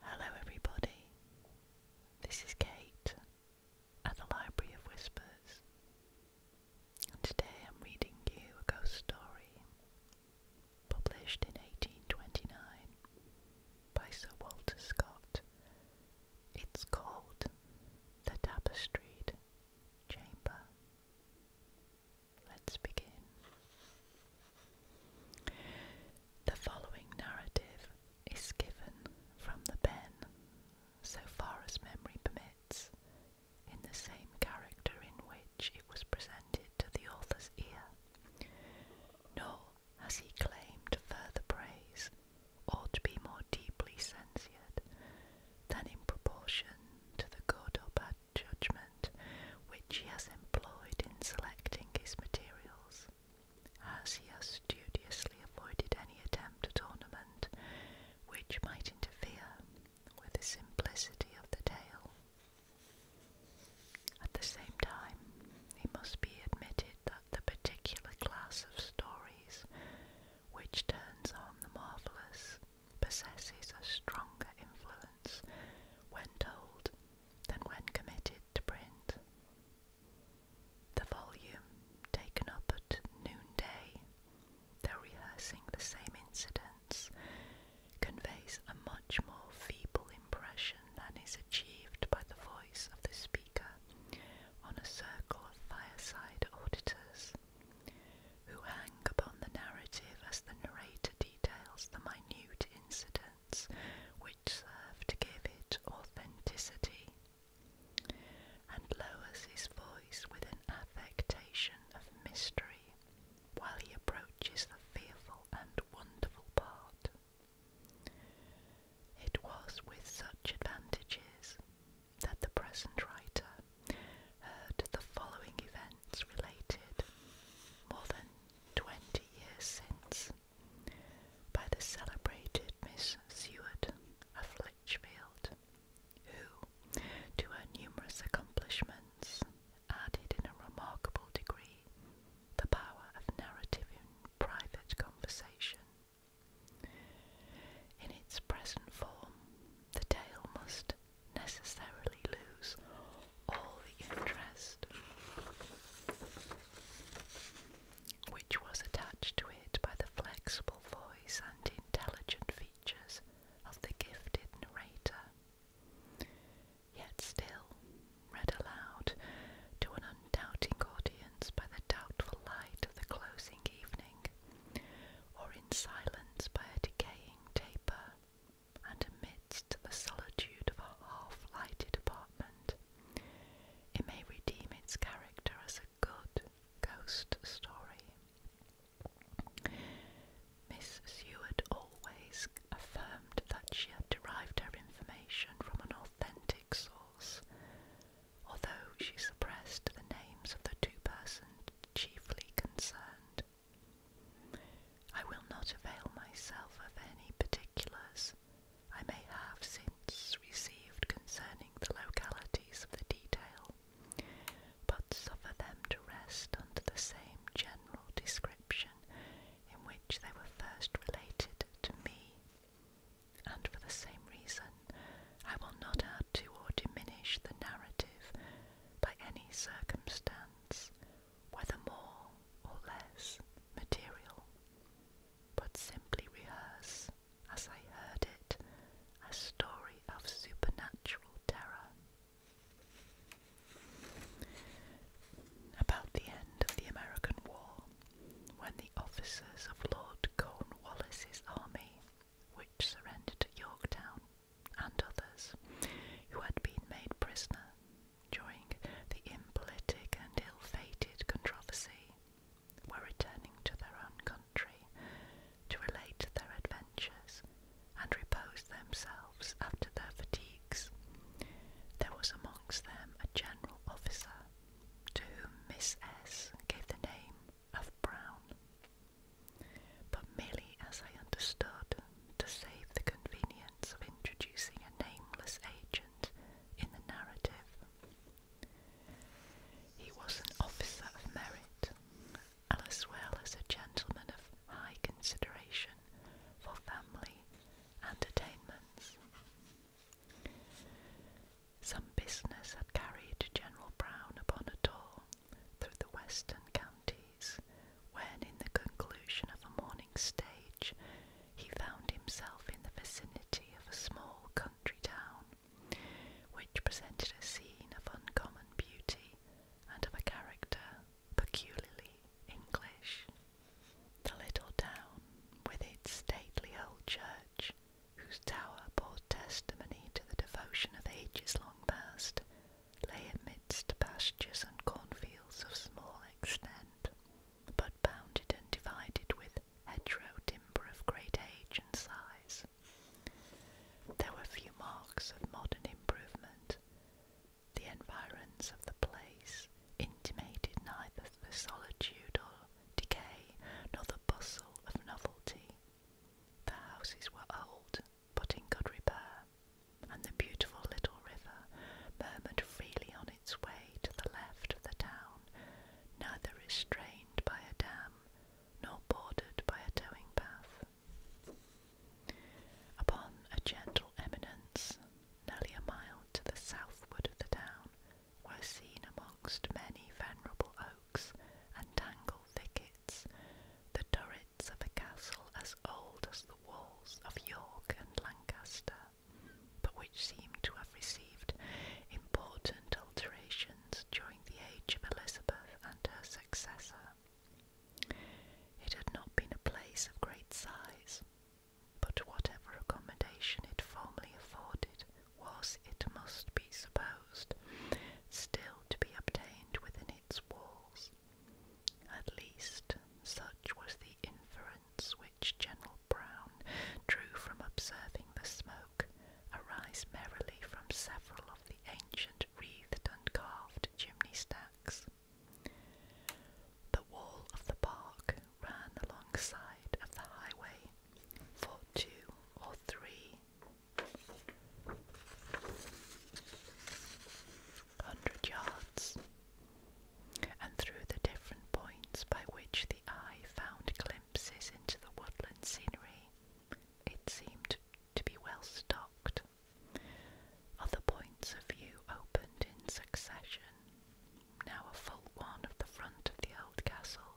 Hello, everybody. This is Kate at the Library of Whispers, and today I'm reading you a ghost story published in 1829 by Sir Walter Scott. It's called The Tapestry Chamber. Let's begin. The following narrative is given from the pen, so far as memory permits, in the same character in which it was presented to the author's ear, nor has he claimed further praise or to be more deeply censured than in proportion to the good or bad judgment which he has employed in selecting his materials as he has studiously avoided any attempt at ornament which might interfere with the simplicity of the tale. At the same time, it must be admitted that the particular class of stories which turns on the marvellous possesses a stronger influence when told than when committed to print. The volume taken up at noonday, though rehearsing the same incidents, conveys a much more feeble impression than is achieved by the voice of the speaker on a circle of fireside auditors who hang upon the narrative as the narrator details the minute incidents which serve to give it authenticity, and lowers his voice with an affectation of mystery while he approaches the fearful and wonderful part. It was with such advantages that the present writer heard the following events related more than twenty years since by the celebrated Miss Seward of Lichfield, who, to her numerous accomplishments, added in a remarkable degree the power of narrative in private conversation. In its present form, the tale must necessarily lose all the interest which was attached to it by the flexible voice and intelligent features of the gifted narrator. Yet still, read aloud to an undoubting audience by the doubtful light of the closing evening, or in silence by a decaying taper, and amidst the solitude of a half-lighted apartment, it may redeem its character as a good ghost story. Miss Seward always affirmed that she had derived her information from an authentic source, although she suppressed the names of the two persons chiefly concerned. I will not avail myself of any particulars I may have since received concerning the localities of the detail, but suffer them to rest under the same general description in which they were first related to me. And for the same reason, I will not add to or diminish the narrative by any circumstance whether more or less material, but simply rehearse, as I heard it, a story of supernatural terror. About the end of the American War, when the officers of Lord Cornwallis's army, which surrendered at Yorktown, and others who had been made prisoner during the impolitic and ill-fated controversy, were returning to their own country to relate their adventures and repose themselves after their fatigues. There was amongst them a general officer, to whom Miss S gave the name of Brown. But merely as I understood to save the convenience of introducing a nameless agent in the narrative. He was an officer of merit, as well as a gentleman of high consideration for family entertainments. Some business had carried General Brown upon a tour through the western counties when, in the conclusion of a morning stage, he found himself in the vicinity of a small country town, which presented a scene of uncommon beauty and of a character peculiarly English. The little town, with its stately old church, whose tower bore testimony to the devotion of ages long past, lay amidst pastures and cornfields of small extent but bounded and divided with hedgerow timber of great age and size. There were few marks of modern improvement. The environs of the place intimated neither the solitude or decay nor the bustle of novelty. The houses were old, but in good repair, and the beautiful little river murmured freely on its way to the left of the town, neither restrained by a dam nor bordered by a towing path. Upon a gentle eminence, nearly a mile to the southward of the town, were seen amongst many venerable oaks and tangled thickets the turrets of a castle as old as the walls of York and Lancaster, but which seem to have received important alterations during the age of Elizabeth and her successor. It had not been a place of great size, but whatever accommodation it formerly afforded was, it must be supposed, still to be obtained within its walls. At least, such was the inference which General Brown drew from observing the smoke arise merrily from several of the ancient wreathed and carved chimney stacks. The wall of the park ran alongside of the highway for two or three hundred yards, and through the different points by which the eye found glimpses into the woodland scenery, it seemed to be well stocked. Other points of view opened in succession, now a full one of the front of the old castle,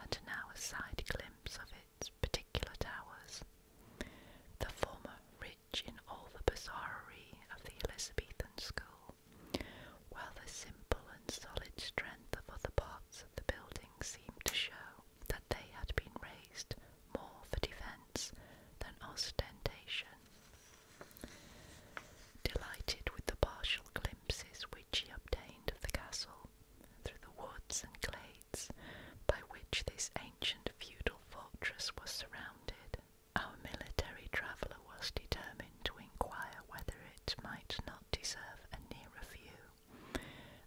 and now a side glimpse of its particular towers. The former rear in all the bizarrerie of the Elizabethan school, while the simple and solid strength of other parts of the building seemed to show that they had been raised more for defence than ostentation. Delighted with the partial glimpses which he obtained of the castle, through the woods and glades by which this ancient feudal fortress was surrounded, our military traveller was determined to inquire whether it might not deserve a nearer view,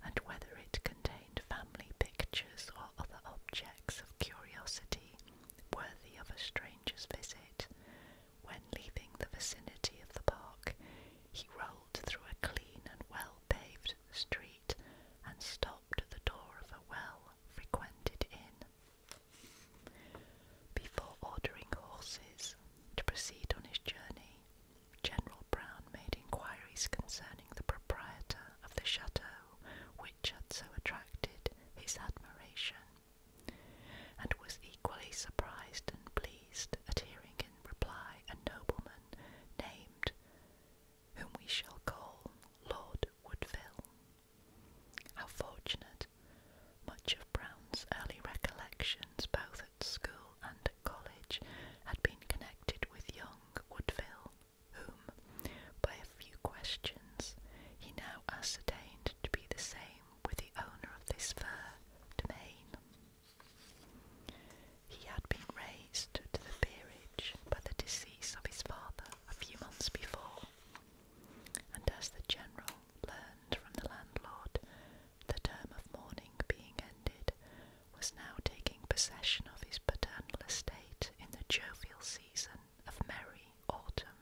and whether it contained family pictures or other objects of curiosity worthy of a stranger's visit. When leaving the vicinity of the park, he rolled through a clean and well paved street and stopped at the door of a well frequented inn. Before ordering horses to proceed on his journey, General Brown made inquiries concerning the proprietor of the chateau which had so attracted his admiration, and was equally surprised and pleased at hearing in reply a nobleman named, whom we shall call Lord Woodville. How fortunate! Much of Brown's early recollections, both at school and at college, had been connected with young Woodville, whom, by a few questions, he now ascertained to be the same with the owner of this fair domain. He had been raised to the peerage by the decease of his father a few months before, and as the general learned from the landlord, the term of mourning being ended, was now taking possession of his paternal estate in the jovial season of merry autumn,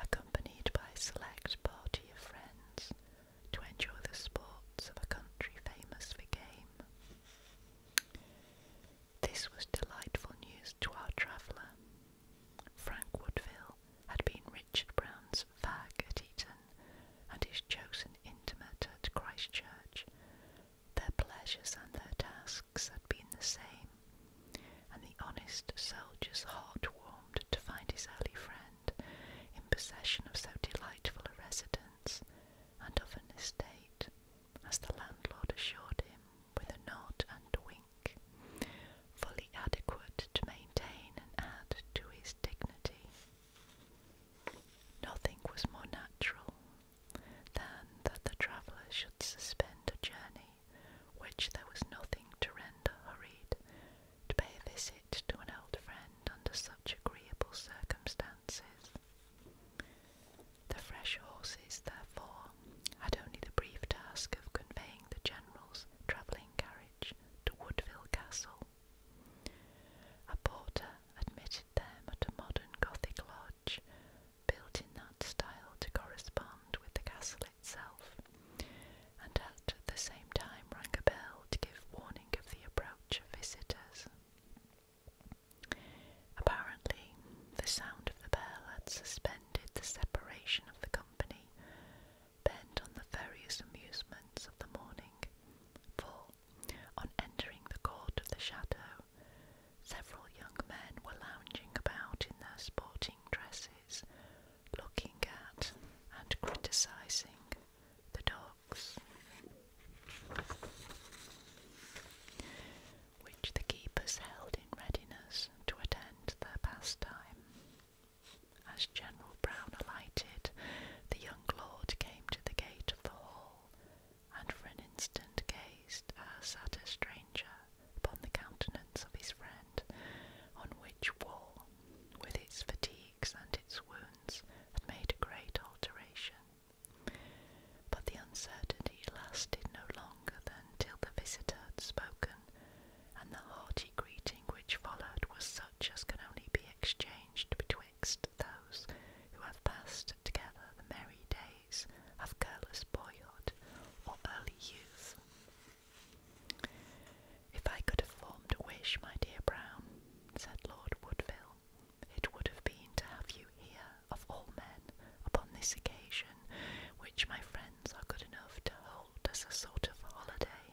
accompanied by a select party of friends to enjoy the sports of a country famous for game. This was delightful news to our traveller. Frank Woodville had been Richard Brown's fag at Eton and his chosen intimate at Christchurch. Their pleasures and their tasks had been the same, and the honest soldier's heart warmed to find his early friend in possession of so delightful a residence and of an estate, as the landlord assured him with a nod and wink, fully adequate to maintain and add to his dignity. Nothing was more natural than that the traveller should suspend a journey which there was nothing to render hurried, to pay a visit to an old friend under such agreeable circumstances. The fresh horses, therefore, had only the brief task of conveying the general's travelling carriage to Woodville Castle. A porter admitted them at a modern Gothic lodge, built in that style to correspond with the castle itself, and at the same time rang a bell to give warning of the approach of visitors. Apparently, the sound of the bell had suspended the separation of the company, bent on the various amusements of the morning, for, on entering the court of the chateau, several young men were lounging about in their sporting dresses, looking at and criticising the dogs which the keepers held in readiness to attend their pastime. As General Brown alighted, the young lord came to the gate of the hall, and for an instant gazed as uh, at a stranger upon the countenance of his friend, on which wall, with its fatigues and its wounds, had made a great alteration. But the uncertainty lasted no longer than till the visitor had spoken, and the hearty greeting which followed was such as can only be exchanged betwixt those who have passed together the merry days of careless boyhood or early youth. If I could have formed a wish, my dear Brown, said Lord Woodville, it would have been to have you here of all men upon this occasion, which my friends are good enough to hold as a sort of holiday.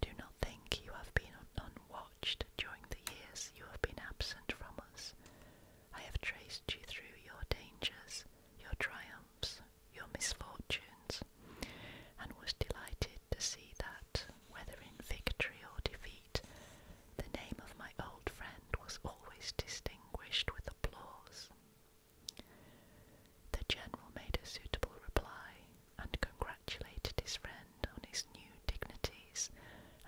Do not think you have been unwatched during the years you have been absent from us. I have traced you through your dangers, your triumphs, your misfortunes, and was delighted to see that, whether in victory or defeat, the name of my old friend was always distinguished with applause. The general made a suitable reply, and congratulated his friend on his new dignities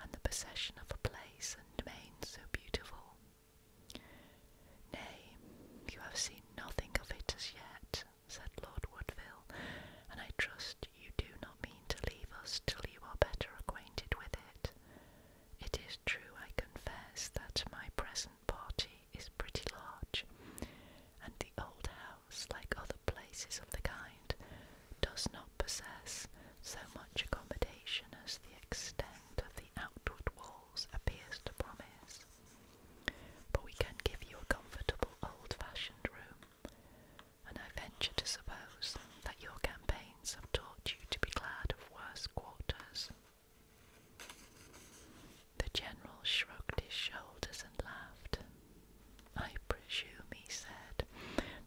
and the possession of a place and domain so beautiful. Nay, you have seen nothing of it as yet, said Lord Woodville, and I trust you do not mean to leave us till you are better acquainted with it. It is true, I confess, that my present party is pretty large, and the old house, like other places of the kind, does not possess so much accommodation as the extent of the outward walls appears to promise. But we can give you a comfortable old fashioned room, and I venture to suppose that your campaign have taught you to be glad of worse quarters. The general shrugged his shoulders and laughed. I presume, he said,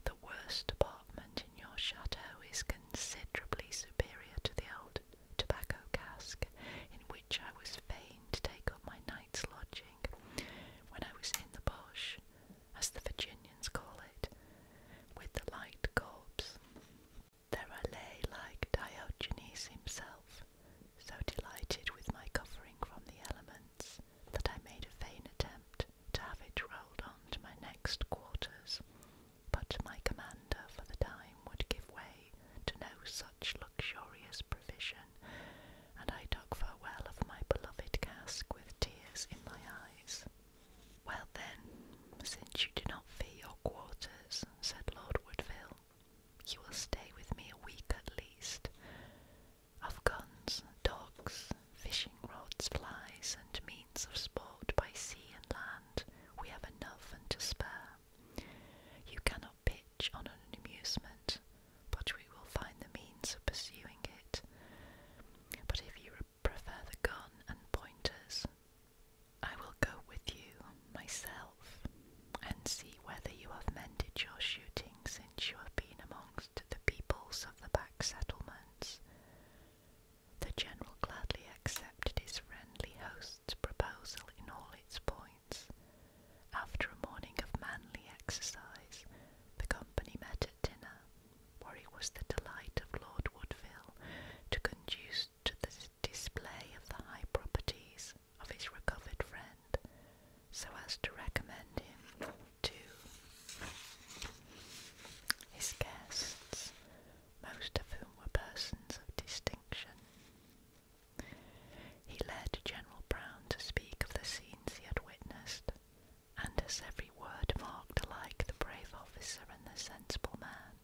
the worst apartment in your chateau is considerably superior to the old tobacco cask in which I was fain to take up my night's lodging when I was in the bush as the Virginians call it, with the light corpse. There I lay like Diogenes himself, so delighted with my covering from the elements that I made a vain attempt to have it rolled on to my next quarters, but my commander for the time would give way to no such luxurious provision, and I took farewell of my beloved cask with tears in my eyes. Well then, since you do not fear your quarters, said Lord Woodville, you will stay with me a week at least. Of guns, dogs, fishing rods, flies, and means of sport by sea and land, we have enough and to spare. You cannot pitch on an amusement, but we will find the means of pursuing it. But if you prefer the gun and pointers. I will go with you myself and see whether you have mended your shooting since you have been amongst the peoples of the back settlements. The general gladly accepted his friendly host's proposal in all its points. After a morning of manly exercise, the company met at dinner, Warwick was the delight of Lord Woodville to conduce to the display of the high properties of his recovered friend, so as to recommend him to his guests, most of whom were persons of distinction. He led General Brown to speak of the scenes he had witnessed, and as every word marked alike the brave officer and the sensible man,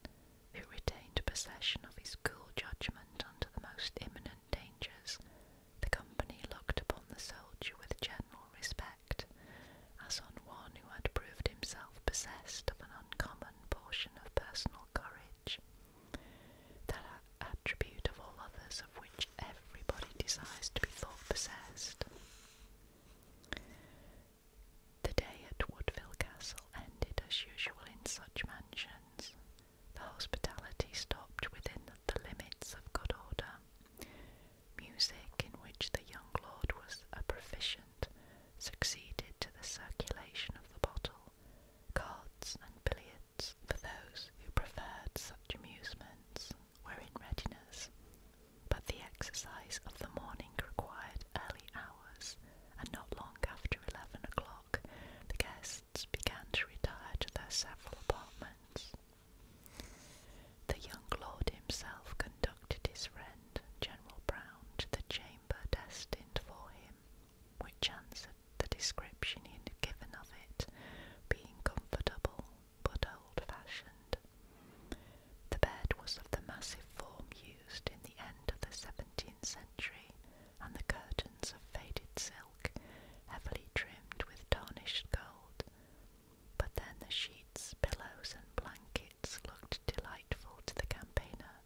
who retained possession of his cool judgment under the most imminent dangers, the company looked upon the soldier with general respect, as on one who had proved himself possessed of an uncommon portion of personal courage, that attribute of all others of which everybody desires to be thought possessed. The day at Woodville Castle ended as usual in such mansions. The hospitality stopped within the limits of good order. Music, in which the young lord was a proficient, succeeded to the circulation of the bottle, cards and billiards for those who preferred such amusements were in readiness, but the exercise of the morning required early hours, and not long after eleven o'clock the guests began to retire to their several apartments. The young lord himself conducted his friend, General Brown, to the chamber destined for him, which answered the description he had given of it, being comfortable but old-fashioned. The bed was of the massive form used in the end of the 17th century, and the curtains of faded silk, heavily trimmed with tarnished gold. But then the sheets, pillows, and blankets looked delightful to the campaigner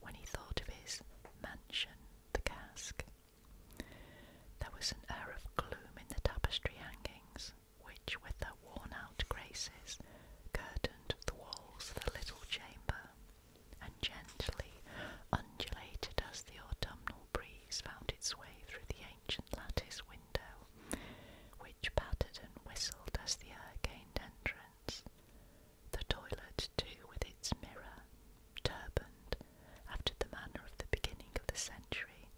when he thought of his mansion, the cask. There was an air of gloom in the tapestry hangings, which, with their worn out graces, curtained the walls of the little chamber, and gently undulated as the autumnal breeze found its way through the ancient lattice window, which pattered and whistled as the air gained entrance. The toilet, too, with its mirror, turbaned after the manner of the beginning of the century,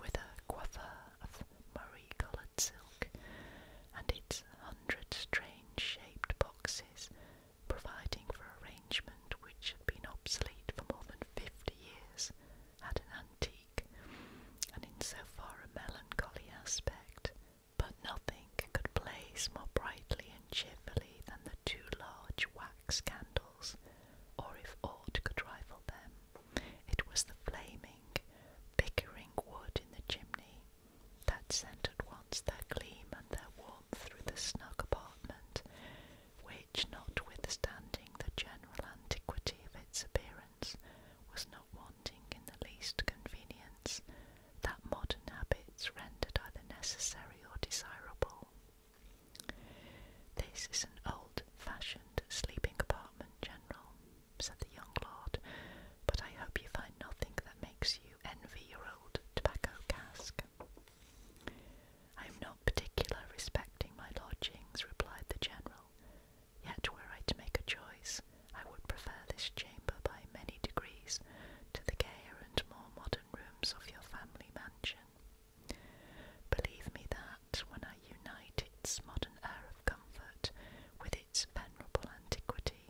with a coiffure of marie coloured silk, and its hundred strange shaped boxes, providing for arrangement which had been obsolete for more than fifty years, had an antique and in so far a melancholy aspect. But nothing could blaze more brightly and cheerfully than the two large wax candles, or if aught could rival them, it was the flaming, bickering wood in the chimney that sent at once their gleam and their warmth through the snug apartment, which, notwithstanding the general antiquity of its appearance, was not wanting in the least convenience that modern habits rendered either necessary or desirable. This is an old fashioned sleeping apartment, General, said the young lord, but I hope you find nothing that makes you envy your old tobacco cask. I am not particular respecting my lodgings, replied the general, yet were I to make a choice, I would prefer this chamber by many degrees to the gayer and more modern rooms of your family mansion. Believe me, that." when I unite its modern air of comfort with its venerable antiquity,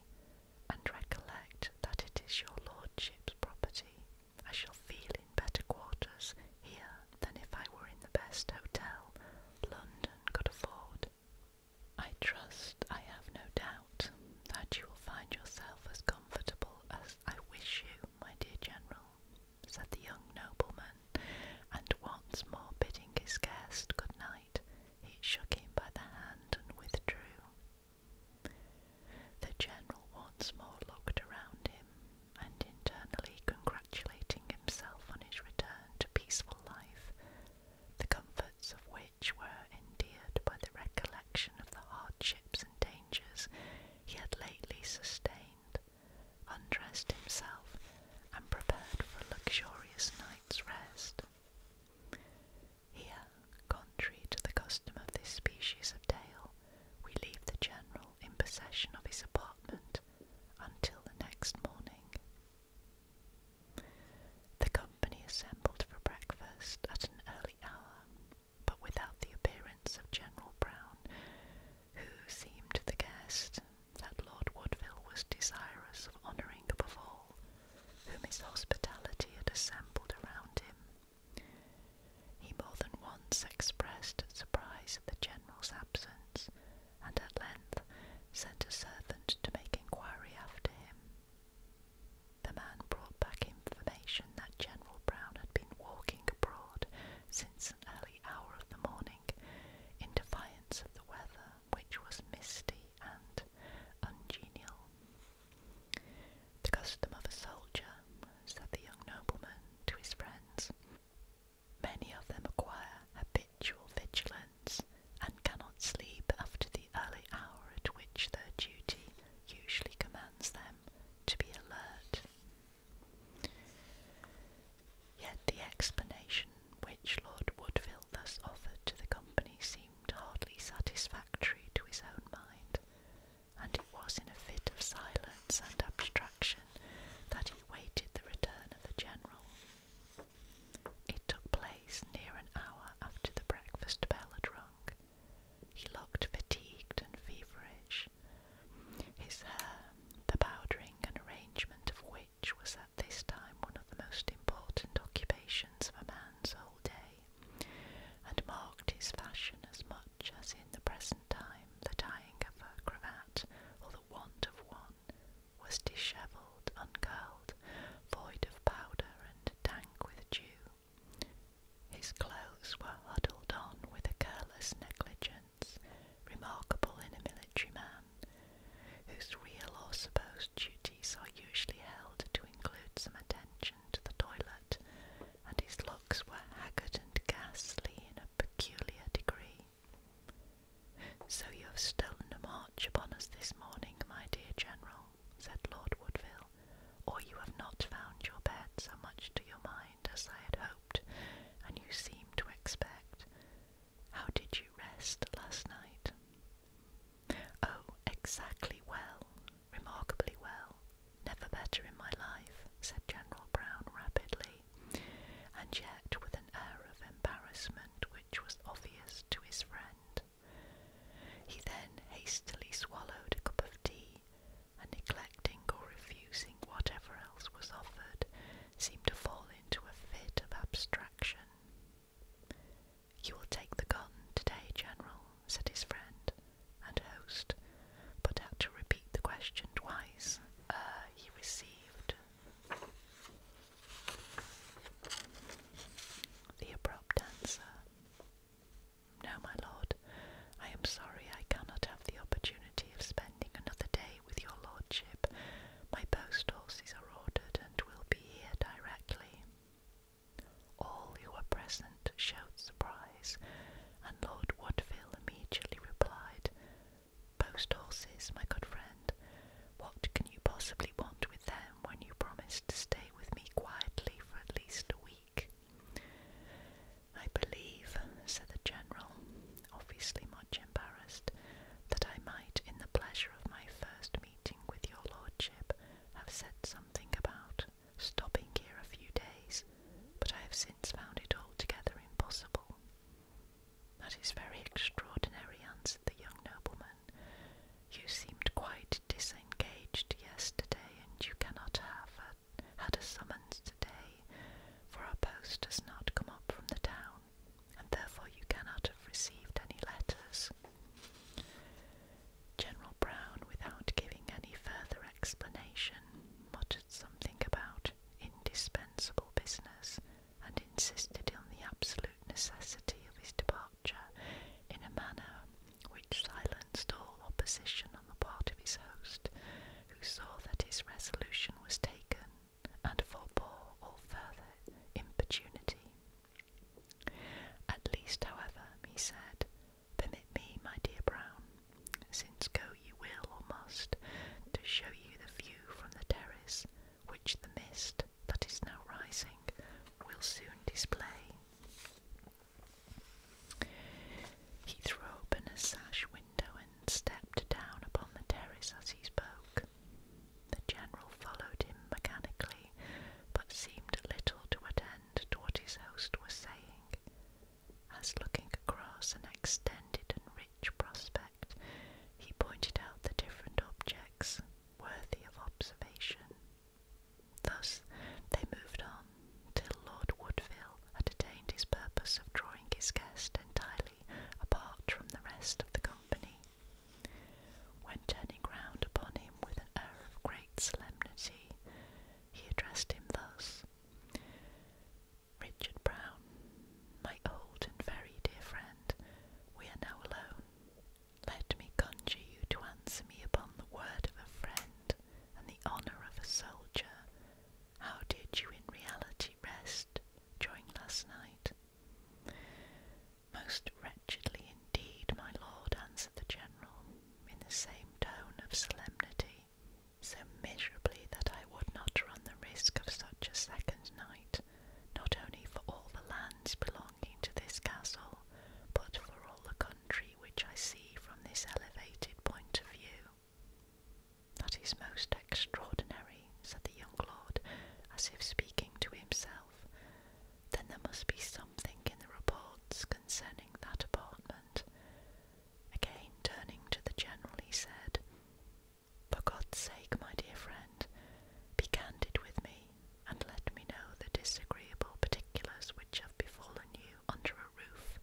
and recollect that it is your lordship's property, I shall feel in better quarters here than if I were in the best hotel London could afford. I trust, I have no doubt, that you will find yourself as comfortable as I wish you, my dear General, said the young nobleman, and once more bidding his guest good night, he shook him by the hand and withdrew. The general once more looked around him, and internally congratulating himself on his return to peaceful life, the comforts of which were endeared by the recollection of the hardships and dangers he had lately sustained undressed himself, and prepared for a luxurious night's rest. Here, contrary to the custom of this species of tale, we leave the general in possession of his apartment until the next morning. The company assembled for breakfast at an early hour, but without the appearance of General Brown, who seemed the guest that Lord Woodville was desirous of honouring above all, whom his hospitality had assembled around him. He more than once expressed surprise at the General's absence, and at length sent a servant to make inquiry after him. The man brought back information that General Brown had been walking abroad since an early hour of the morning, in defiance of the weather, which was misty and ungenial. The custom of a soldier, said the young nobleman to his friends, many of them acquire habitual vigilance and cannot sleep after the early hour at which their duty usually commands them to be alert. Yet the explanation which Lord Woodville thus offered to the company seemed hardly satisfactory to his own mind, and it was in a fit of silence and abstraction that he waited the return of the General. It took place near an hour after the breakfast bell had rung. He looked fatigued and feverish, his hair, the powdering and arrangement of which was at this time one of the most important occupations of a man's whole day, and marked his fashion as much as in the present time the tying of a cravat or the want of one was dishevelled, uncurled, void of powder, and dank with dew. His clothes were huddled on with a careless negligence remarkable in a military man, whose real or supposed duties are usually held to include some attention to the toilet, and his looks were haggard and ghastly in a peculiar degree. So you have stolen a march upon us this morning, my dear General, said Lord Woodville, or you have not found your bed so much to your mind as I had hoped, and you seem to expect. How did you rest last night? Oh, exactly well, remarkably well, never better in my life, said General Brown rapidly, and yet with an air of embarrassment which was obvious to his friend. He then hastily swallowed a cup of tea, and neglecting or refusing whatever else was offered, seemed to fall into a fit of abstraction. You will take the gun today, General, said his friend and host, but had to repeat the question twice ere uh, he received. The abrupt answer. No, my lord, I am sorry I cannot have the opportunity of spending another day with your lordship. My post horses are ordered and will be here directly. All who were present showed surprise, and Lord Woodville immediately replied, Post horses, my good friend, what can you possibly want with them when you promised to stay with me quietly for at least a week? I believe, said the general, obviously much embarrassed, that I might, in the pleasure of my first meeting with your lordship, have said something about stopping here a few days, but I have since found it altogether impossible. That is very extraordinary, answered the young nobleman. You seemed quite disengaged yesterday, and you cannot have had a summons today for our post does not come up from the town, and therefore you cannot have received any letters. General Brown, without giving any further explanation, muttered something about indispensable business and insisted on the absolute necessity of his departure in a manner which silenced all opposition on the part of his host, who saw that his resolution was taken and forbore all further importunity. At least, however, he said, permit me, my dear Brown, since go you will or must, to show you the view from the terrace, which the mist that is now rising will soon display. He threw open a sash window then stepped down upon the terrace as he spoke. The general followed him mechanically, but seemed little to attend to what his host was saying, as looking across an extended and rich prospect, he pointed out the different objects worthy of observation. Thus they moved on till Lord Woodville had attained his purpose of drawing his guest entirely apart from the rest of the company. When turning round upon him with an air of great solemnity, he addressed him thus Richard Brown, my old and very dear friend, we are now alone. Let me conjure you to answer me upon the word of a friend and the honour of a soldier. How did you in reality rest during last night. Most wretchedly indeed, my lord, answered the general, in the same tone of solemnity, so miserably that I would not run the risk of such a second night, not only for all the lands belonging to this castle, but for all the country which I see from this elevated point of view. That is most extraordinary, said the young lord, as if speaking to himself. Then there must be something in the reports concerning that apartment. Again turning to the general, he said, For God's sake, my dear friend, be candid with me, and let me know the disagreeable particulars which have befallen you under a roof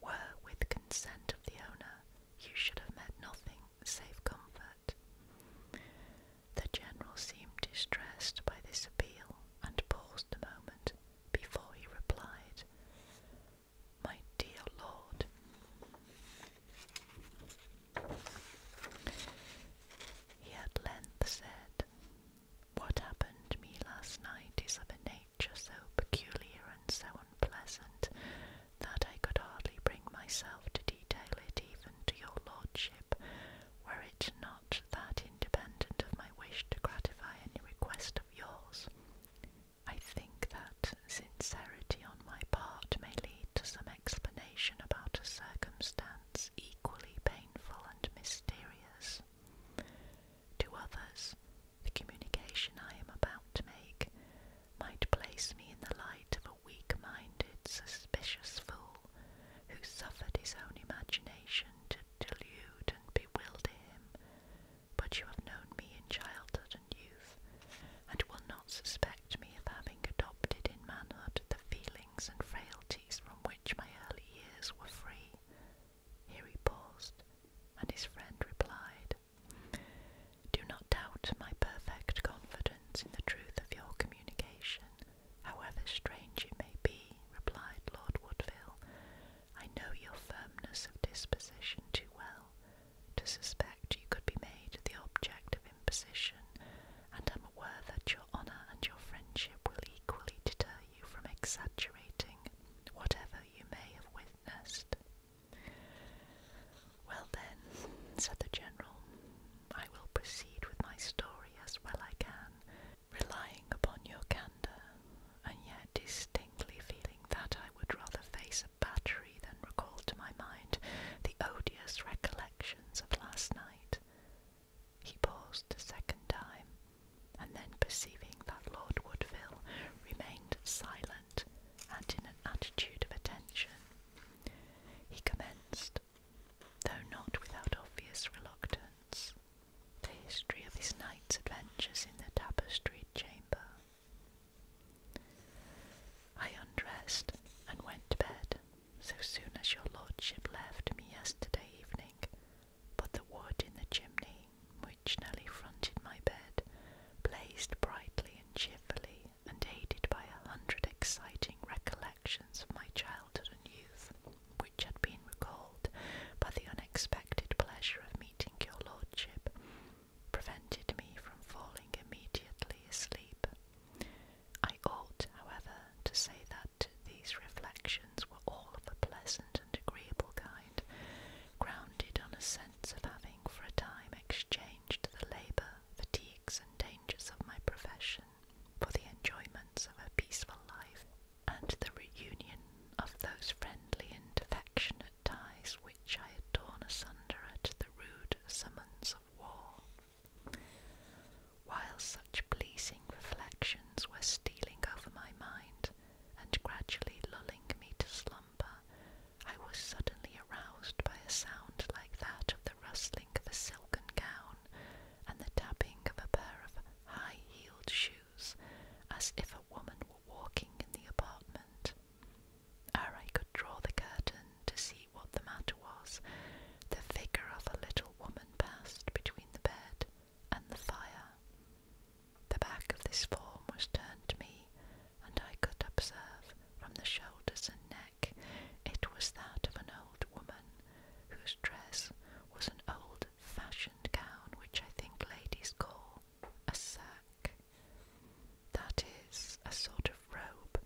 were with consent of the owner you should have met nothing save comfort. The general seemed distressed by this appeal, and paused a moment before he replied, My dear lord, he at length said, What happened to me last night is of a nature so peculiar and so Pleasant, that I could hardly bring myself to detail it even to your lordship, were it not that independent of my wish to gratify any request of yours. I think that sincerity on my part may lead to some explanation about a circumstance equally painful and mysterious. To others, the communication I am about to make might place me in the light of a weak minded, suspicious fool who suffered his own imagination to delude and bewilder him. But you have known me in childhood and youth, and will not suspect me of having adopted in manhood the feelings and frailties from which my early years were free. Here he paused, and his friend replied, do not doubt my perfect confidence in the truth of your communication, however strange it may be, replied Lord Woodville. I know your firmness of disposition too well to suspect you could be made the object of imposition, and am aware that your honour and your friendship will equally deter you from exaggerating whatever you may have witnessed. Well then, said the general, I will proceed with my story as well I can, relying upon your candour, and yet distinctly feeling that I would rather face a battery than recall to my mind the odious recollections of last night. He paused a second time, and then perceiving that Lord Woodville remained silent, and in an attitude of attention. He commenced, though not without obvious reluctance, the history of his night's adventures in the tapestried chamber. I undressed and went to bed so soon as your lordship left me yesterday evening, but the wood in the chimney originally fronted my bed, blazed brightly and cheerfully, and aided by a hundred exciting recollections of my childhood and youth, which had been recalled by the unexpected pleasure of meeting your lordship, prevented me from falling immediately asleep. I ought, however, to say that these reflections were all of a pleasant and agreeable kind, grounded on a sense of having for a time exchanged the labour, fatigues, and dangers of my profession for the enjoyments of a peaceful life and the reunion of those friendly and affectionate ties which I had torn asunder at the rude summons of war. While such pleasing reflections were stealing over my mind and gradually lulling me to slumber, I was suddenly aroused by a sound like that of the rustling of a silken gown and the tapping of a pair of high heeled shoes, as if a woman were walking in the apartment. Ere I could draw the curtain to see what the matter was, the figure of a little woman passed between the bed and the fire. The back of this form was turned to me, and I could observe from the shoulders and neck it was that of an old woman whose dress was an old fashioned gown which I think ladies call a sack. That is a sort of robe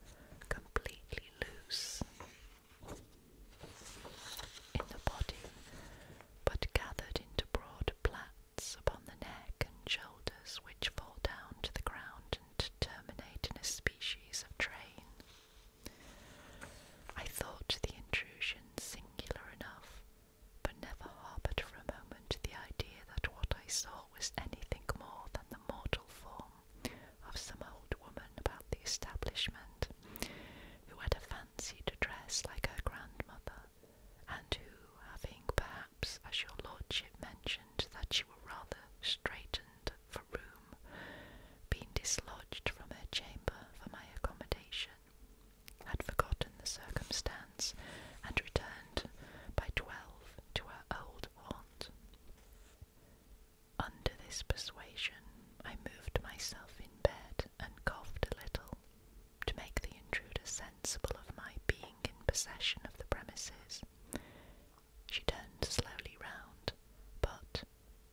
completely loose in the body, but gathered into broad plaits upon the neck and shoulders which fall down to the ground and terminate in a species of train. I thought the intrusion singular enough, but never harboured for a moment the idea that what I saw was anything more than the mortal form of some old woman about the establishment, who had a fancy to dress like her grandmother and who, having perhaps, as your lordship mentioned, that you were rather straitened for room, been dislodged from her chamber for my accommodation, had forgotten the circumstance, and returned by twelve to her old haunt. Under this persuasion, I moved myself in bed and coughed a little, to make the intruder sensible of my being in possession of the premises. She turned slowly round, but,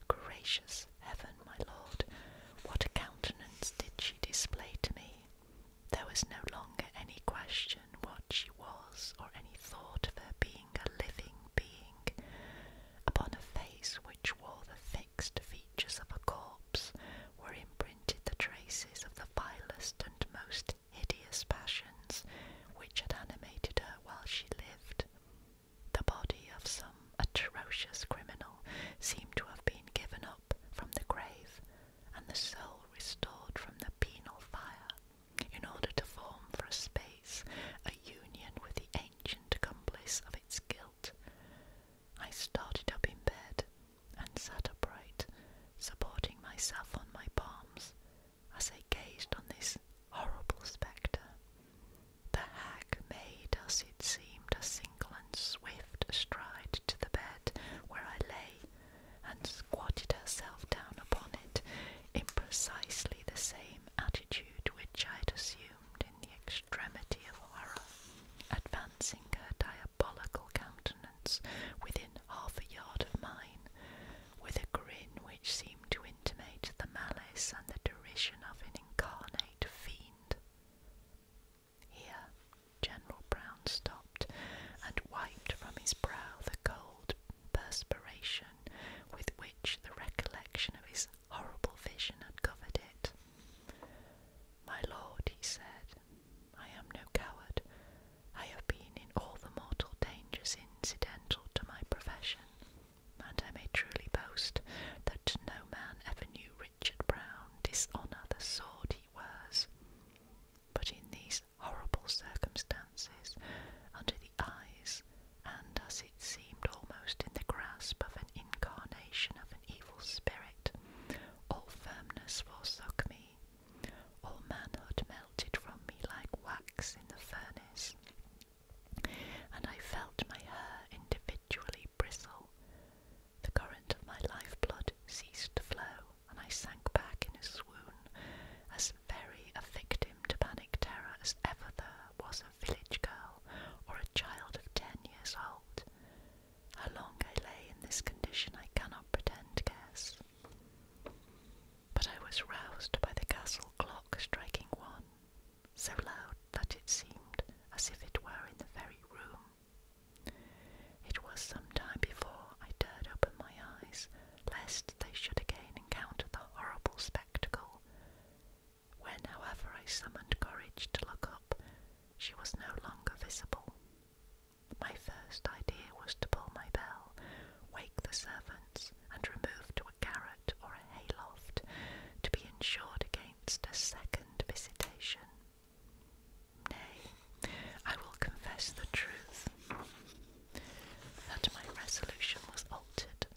gracious heaven, my lord, what a countenance did she display to me! There was no longer any question what she was, or any thought of her being a living being. Upon a face which wore the fixed features of a corpse were imprinted the traces of the vilest and most hideous passions which had animated her while she lived. The body of some atrocious criminal seemed to have been given up from the grave, and the soul restored from the penal fire, in order to form for a space a union with the ancient accomplice of its guilt. I started up in bed and sat upright, supporting myself on my palms as I gazed on this horrible spectre. The hag made, as it seemed, a single and swift stride to the bed where I lay, and squatted herself down upon it in precisely the same attitude which I had assumed in the extremity of horror, advancing her dire diabolical countenance within half a yard of mine, with a grin which seemed to intimate the malice and the derision of an incarnate fiend. Here General Brown stopped and wiped from his brow the cold perspiration with which the recollection of his horrible vision had covered it. My lord, he said, I am no coward. I have been in all the mortal dangers incidental to my profession, and I may truly boast that no man ever knew Richard Brown dishonour the sword he wears. But in these horrible circumstances, under the eyes, and as it seemed almost in the grasp of an incarnation of an evil spirit, all firmness forsook me, all manhood melted from me like wax in the furnace, and I felt my hair individually bristle. The current of my lifeblood ceased to flow, and I sank back in a swoon, as very a victim to panic terror as ever there was a village girl or a child of ten years old. How long I lay in this condition I cannot pretend to guess. But I was roused by the castle clock striking one, so loud that it seemed as if it were in the very room. It was some time before I dared open my eyes, lest they should again encounter the horrible spectacle. When, however, I summoned courage to look up, she was no longer visible. My first idea was to pull my bell, wake the servants, and remove to a garret or a hayloft to be insured against a second visitation. Nay, I will confess the truth that my resolution was altered,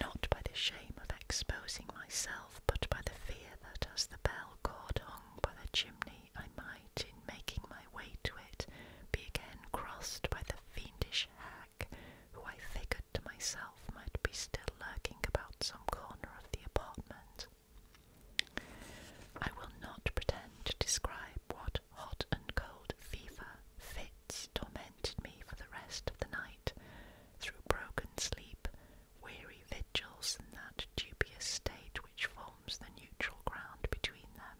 not by the shame of exposing myself, but by the fear that as the bell cord hung by the chimney, I might in making my way to it be again crossed by the fiendish hack who I figured to myself might be still lurking about some corner of the apartment. I will not pretend to describe what hot and cold fever fits tormented me for the rest of the night through broken sleep weary vigils in that dubious state which forms the neutral ground between them.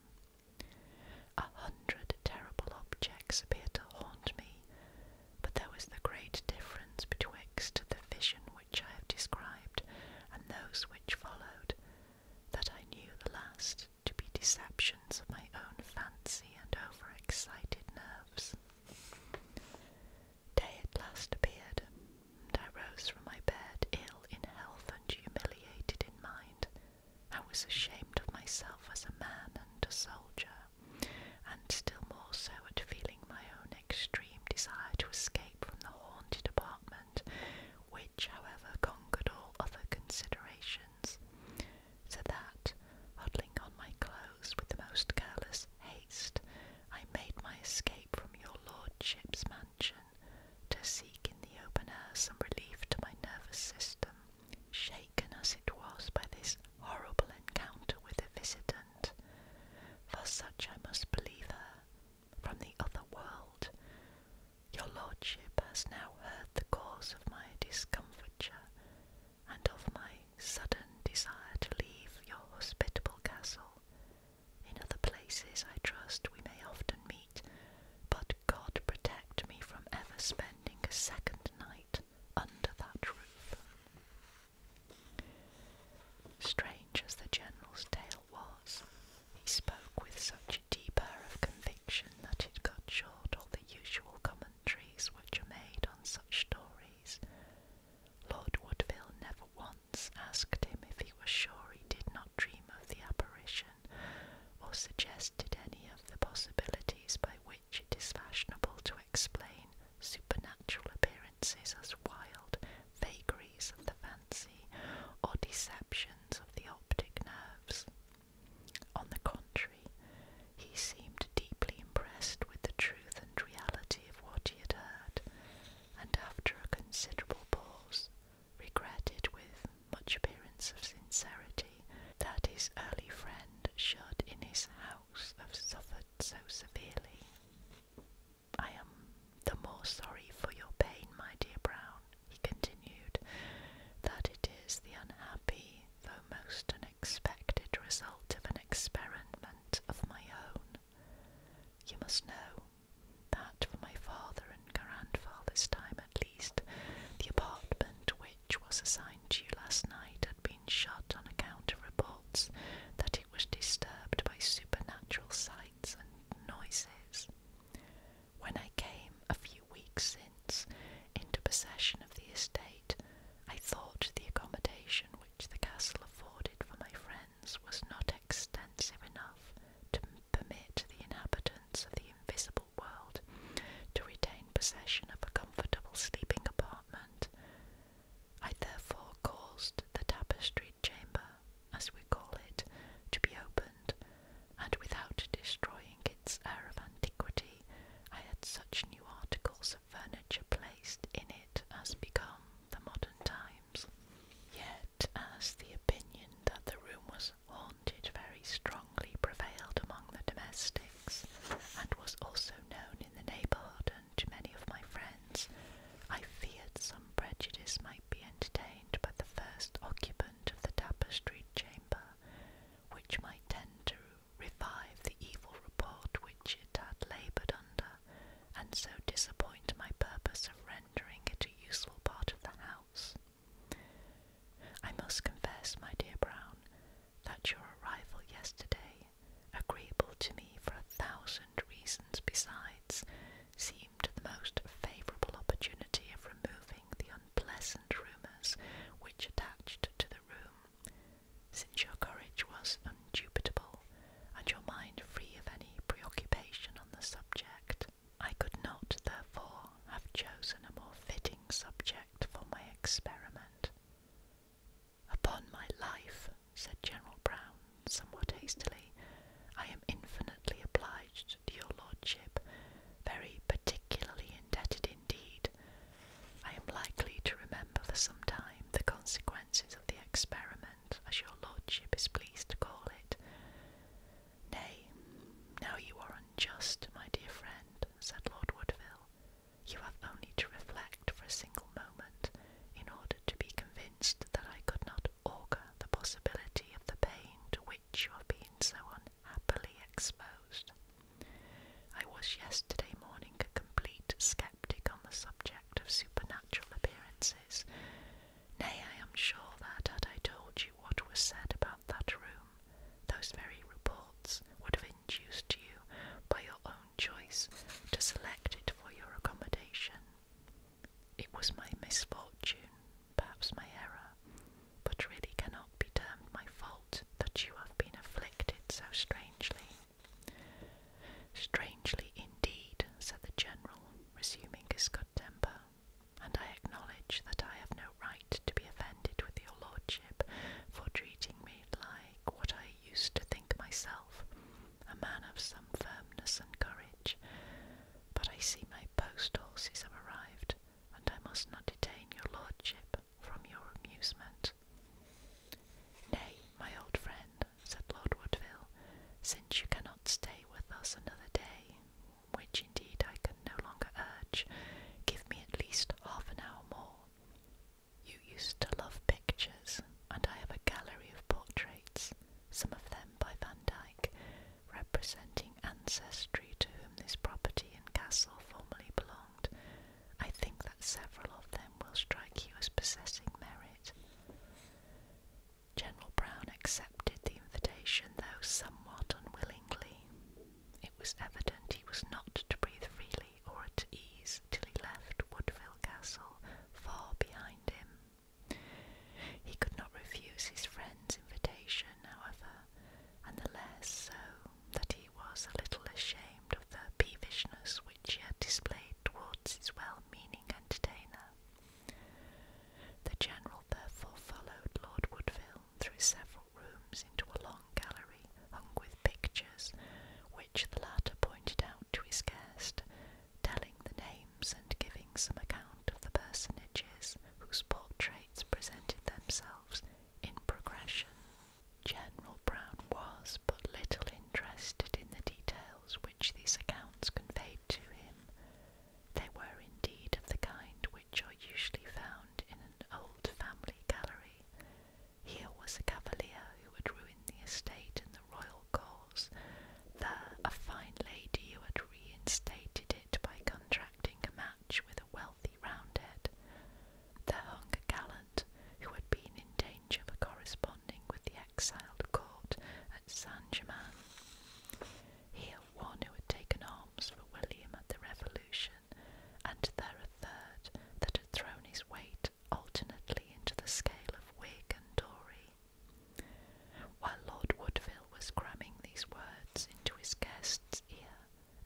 A hundred terrible objects appeared to haunt me, but there was the great difference betwixt the vision which I have described and those which followed, that I knew the last to be deceptions of my own fancy and over-excited nerves day at last appeared, and I rose from my bed, ill in health and humiliated in mind. I was ashamed of myself as a man and a soldier, and still more so at feeling my own extreme desire to escape from the haunted apartment, which, however, conquered all other considerations, so that, huddling on my clothes with the most careless haste, I made my escape from your lordship's mansion to seek in the open air some relief to my nervous system, shaken as it was by this horrible encounter with a visitant, for such I must believe her, from the other world. Your lordship has now heard the cause of my discomfiture and of my sudden desire to leave your hospitable castle in other places, I trust, we may often meet, but God protect me from ever spending a second night under that roof. Strange as the General's tale was, he spoke with such a deep air of conviction that it cut short all the usual commentaries which are made on such stories. Lord Woodville never once asked him if he was sure he did not dream of the apparition, or suggested any of the possibilities by which it is fashionable to explain supernatural appearances as wild vagaries of the fancy or deceptions of the optic nerves. On the contrary, he seemed deeply impressed with the truth and reality of what he had heard, and after a considerable pause, regretted with much appearance of sincerity that his early friend should in his house have suffered so severely. I am the more sorry for your pain, my dear Brown, he continued, that it is the unhappy, though most unexpected result of an experiment of my own. You must know that for my father and grandfather's time at least, the apartment which was assigned to you last night had been shut on account of reports that it was disturbed by supernatural sights and noises. When I came a few weeks since into possession of the estate, I thought the accommodation which the castle afforded for my friend was not extensive enough to permit the inhabitants of the invisible world to retain possession of a comfortable sleeping apartment. I therefore caused the tapestried chamber, as we call it, to be opened, and without destroying its air of antiquity, I had such new articles of furniture placed in it as become the modern times. Yet, as the opinion that the room was haunted very strongly prevailed among the domestics, and was also known in the neighbourhood and to many of my friends, I feared some prejudice might be entertained by the first occupant of the tapestry chamber, which might tend to revive the evil report which it had laboured and so disappoint my purpose of rendering it a useful part of the house. I must confess, my dear Brown, that your arrival yesterday, agreeable to me for a thousand reasons besides, seemed the most favourable opportunity of removing the unpleasant rumours which attached to the room, since your courage was undubitable, and your mind free of any preoccupation on the subject. I could not, therefore, have chosen a more fitting subject for my experiment. Upon my life, said General Brown, somewhat hastily, I am infinitely obliged to your lordship, very particularly indebted indeed. I am likely to remember for some time the consequences of the experiment as your lordship is pleased to call it. Nay, now you are unjust, my dear friend, said Lord Woodville. You have only to reflect for a single moment in order to be convinced that I could not augur the possibility of the pain to which you have been so unhappily exposed. I was yesterday morning a complete sceptic on the subject of supernatural appearances. Nay, I am sure that had I told you what was said about that room, those very reports would have induced you, by your own choice, to select it for your accommodation. It was my misfortune, perhaps my error, but really cannot be termed my fault that you have been afflicted so strangely. Strangely indeed, said the General, resuming his good temper, and I acknowledge that I have no right to be offended with your lordship for treating me like what I used to think myself, a man of some firmness and courage. But I see my post horses have arrived, and I must not detain your lordship from your amusement. Nay, my old friend, said Lord Woodville, since you cannot stay with us another day, which indeed I can no longer urge, give me at least half an hour more. You used to love pictures, and I have a gallery of portraits, some of them by Van Dyck, representing ancestry to whom this property and castle formerly belonged. I think that several of them will strike you as possessing merit. General Brown accepted the invitation, though somewhat unwillingly. It was evident he was not to breathe freely or at ease till he left Woodville Castle far behind him. He could not refuse his friend's invitation, however, and the less so that he was a little ashamed of the peevishness which he had displayed towards his well meaning entertainer. The general therefore followed Lord Woodville through several rooms into a long gallery hung with pictures, which the latter pointed out to his guest, telling the names and giving some account of the personages whose portraits presented themselves in progression. General Brown was but little in interested in the details which these accounts conveyed to him. They were indeed of the kind which are usually found in an old family gallery. Here was a cavalier who had ruined the estate and the royal cause, there a fine lady who had reinstated it by contracting a match with a wealthy roundhead. There hung a gallant who had been in danger for corresponding with the exiled court at Saint Germain. Here, one who had taken arms for William at the Revolution, and there a third that had thrown his weight alternately into the scale of Whig and Tory. While Lord Woodville was cramming these words into his guest's ear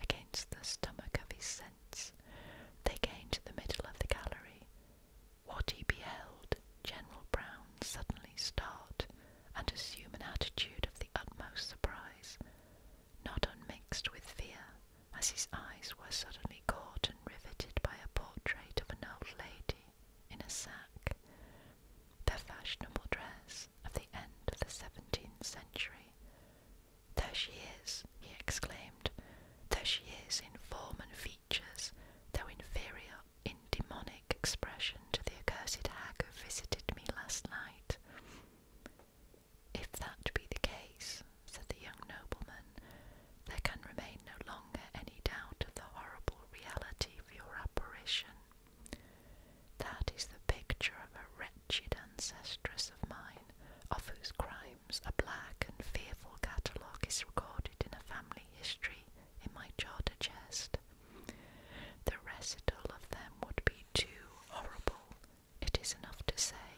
against the stomach of his sense, they gained the middle of the gallery, what he beheld, General Brown suddenly start and assume an attitude of the utmost surprise, not unmixed with fear, as his eyes were suddenly caught and riveted by a portrait of an old lady in a sack, the fashionable dress of the end of the seventeenth century. There she is, he exclaimed, there she is in form and feature features, inferior in expression to the accursed hag who visited me last night. If that be the case, said the young nobleman, there can remain no longer any doubt of the horrible reality of your apparition. That is the picture of a wretched ancestress of mine, of whose crimes a black and fearful catalogue is recorded in a family history in my charter chest. The recital of them would be too horrible, it is enough to say,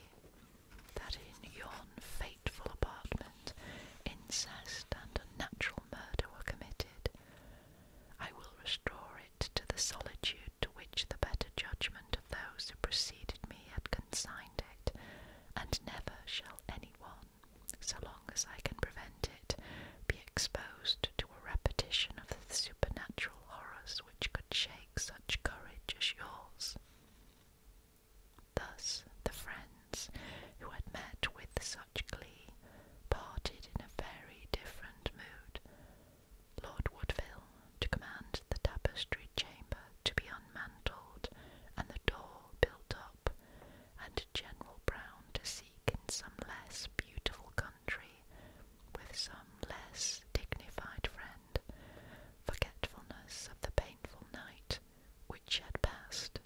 that in yon fateful apartment incest and unnatural murder were committed. I will restore it to the solitude to which the better judgment of those who preceded me had consigned it, and never shall any one so long as I can prevent it, be exposed to a repetition of the supernatural horrors which could shake such courage as yours. Thus, the friends who had met with such glee parted in a very different mood. Lord Woodville to command the tapestry chamber to be unmantled and the door built up and General Brown to seek in some less beautiful country, with some less dignified friend, forgetfulness of the painful night which had passed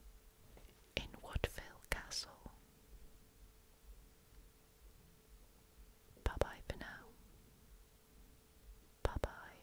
in Woodville Castle. Bye bye for now. Bye bye.